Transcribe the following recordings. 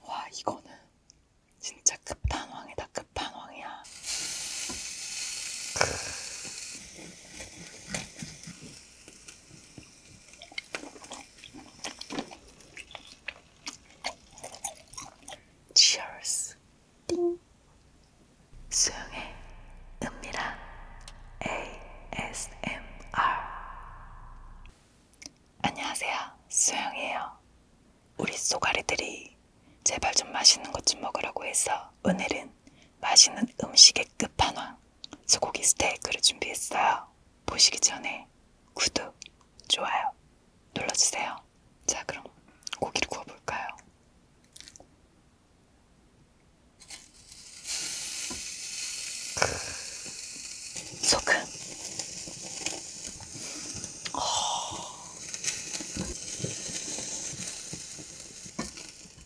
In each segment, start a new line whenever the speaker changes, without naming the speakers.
와 이거는 진짜 끝판왕이다 끝판왕이야 Cheers 띵 수영해 은밀한 ASMR 안녕하세요 수영이에요 우리 쏘가리들이 제발 좀 맛있는 것 좀 먹으라고 해서 오늘은 맛있는 음식의 끝판왕 소고기 스테이크를 준비했어요 보시기 전에 구독, 좋아요 눌러주세요 자 그럼 고기를 구워볼까요? 소금. 어.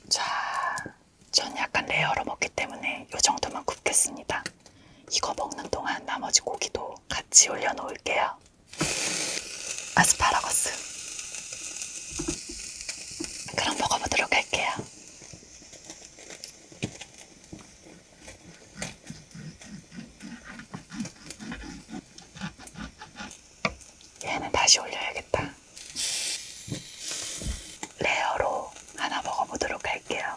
자, 전 약간 레어로 먹기 때문에 이 정도만 굽겠습니다. 이거 먹는 동안 나머지 고기도 같이 올려놓을게요. 아스파라거스. 그럼 먹어보도록 할게요. 얘는 다시 올려야겠다. 레어로 하나 먹어보도록 할게요.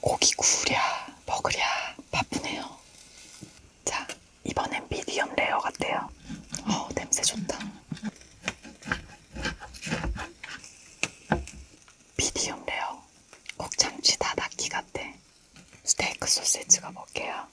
고기 구우랴 먹으랴 바쁘네요. 자, 이번엔 미디엄 레어 같대요. 어, 냄새 좋다. 미디엄 레어. 국장치 다다기 같대. 스테이크 소세지가 먹게요.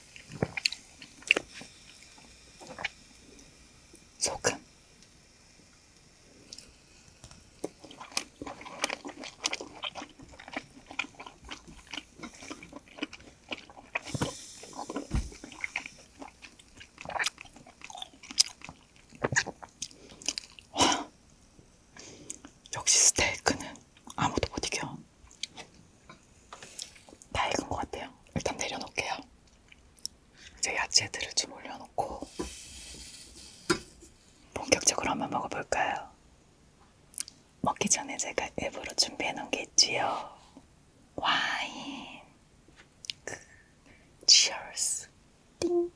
소금 역시 스테이크는 아무도 못 이겨. 다 익은 것 같아요. 일단 내려놓을게요. 이제 야채들을 좀 올려놓고 본격적으로 한번 먹어볼까요? 먹기 전에 제가 일부러 준비해놓은 게 있지요. 와인. 그, cheers. 띵.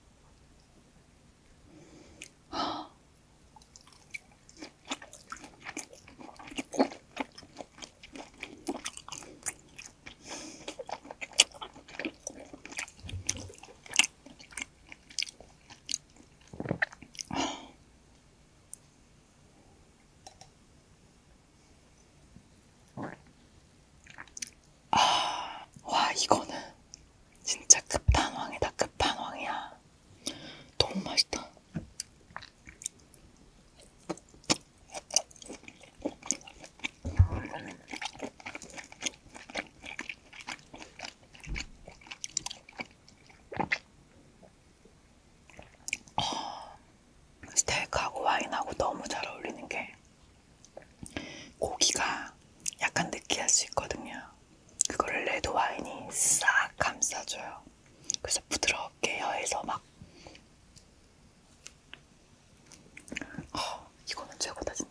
아, 와, 이거는 진짜 끝판왕이다, 끝판왕이야. 너무 맛있다. 아, 스테이크하고 와인하고 너무 잘 어울리는 게 고기가 약간 느끼할 수 있거든요. 그거를 레드 와인이 싹 감싸줘요. 그래서 부드럽게 혀에서 막 어, 이거는 최고다 진짜.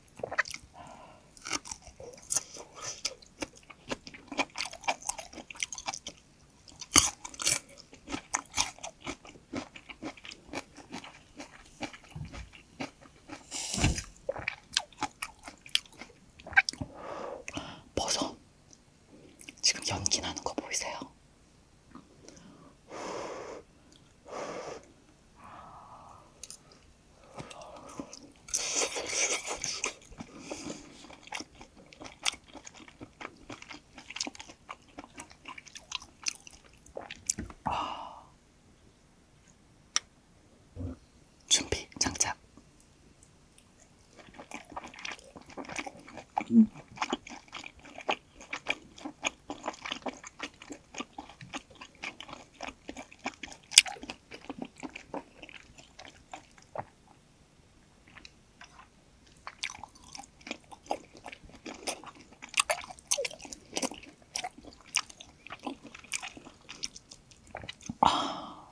버섯 지금 연기 나는 거 보이세요? 아. 준비 장착. 음. 아,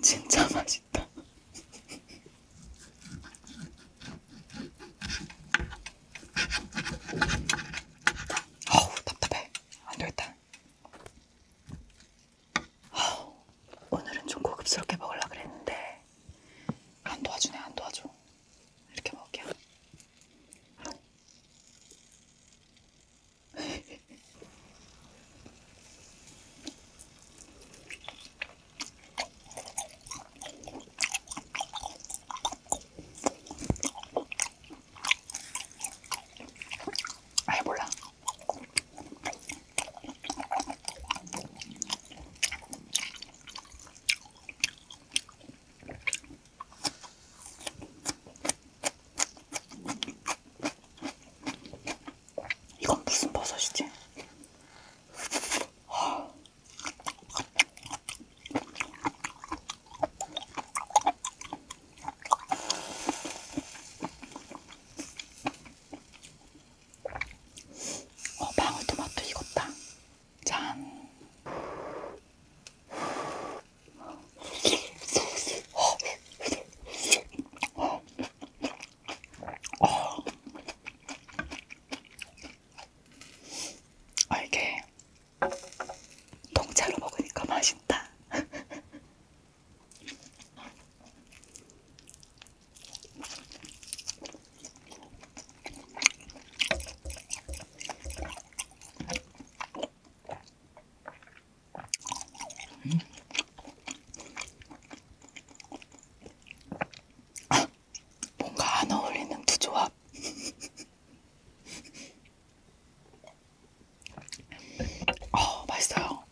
진짜 맛있다. 아우 답답해 안되겠다 아우 오늘은 좀 고급스럽게 먹으려고 그랬는데 안 도와주네 안 도와줘 이렇게 먹을게요 아예 몰라. 이건 무슨 버섯이지? 하... 어, 방울토마토 익었다. 짠. 어. 어. 아, 이게 통째로 먹으니까 맛있다. 음. 뭔가 안 어울리는 두 조합. 어, 맛있어요.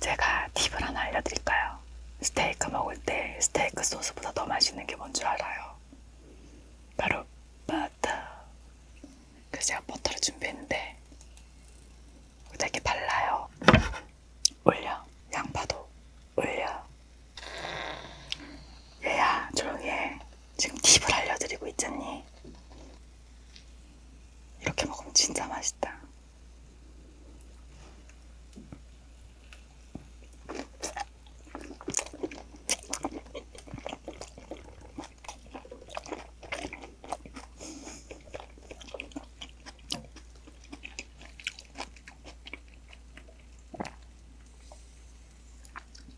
제가 팁을 하나 알려드릴까요? 스테이크 먹을 때 스테이크 소스보다 더 맛있는 게 뭔 줄 알아요? 바로 버터. 그래서 제가 버터를 준비했는데 되게 발라요. 올려. 양파도 올려. 얘야 조용히 해. 지금 팁을 알려드리고 있잖니. 이렇게 먹으면 진짜 맛있다.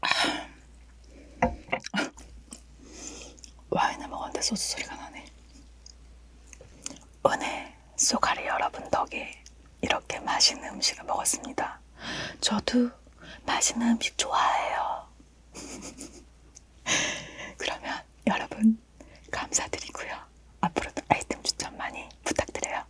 와인을 먹었는데 소주 소리가 나네. 은혜 쏘가리 여러분 덕에 이렇게 맛있는 음식을 먹었습니다. 저도 맛있는 음식 좋아해요. 그러면 여러분 감사드리고요. 앞으로도 아이템 추천 많이 부탁드려요.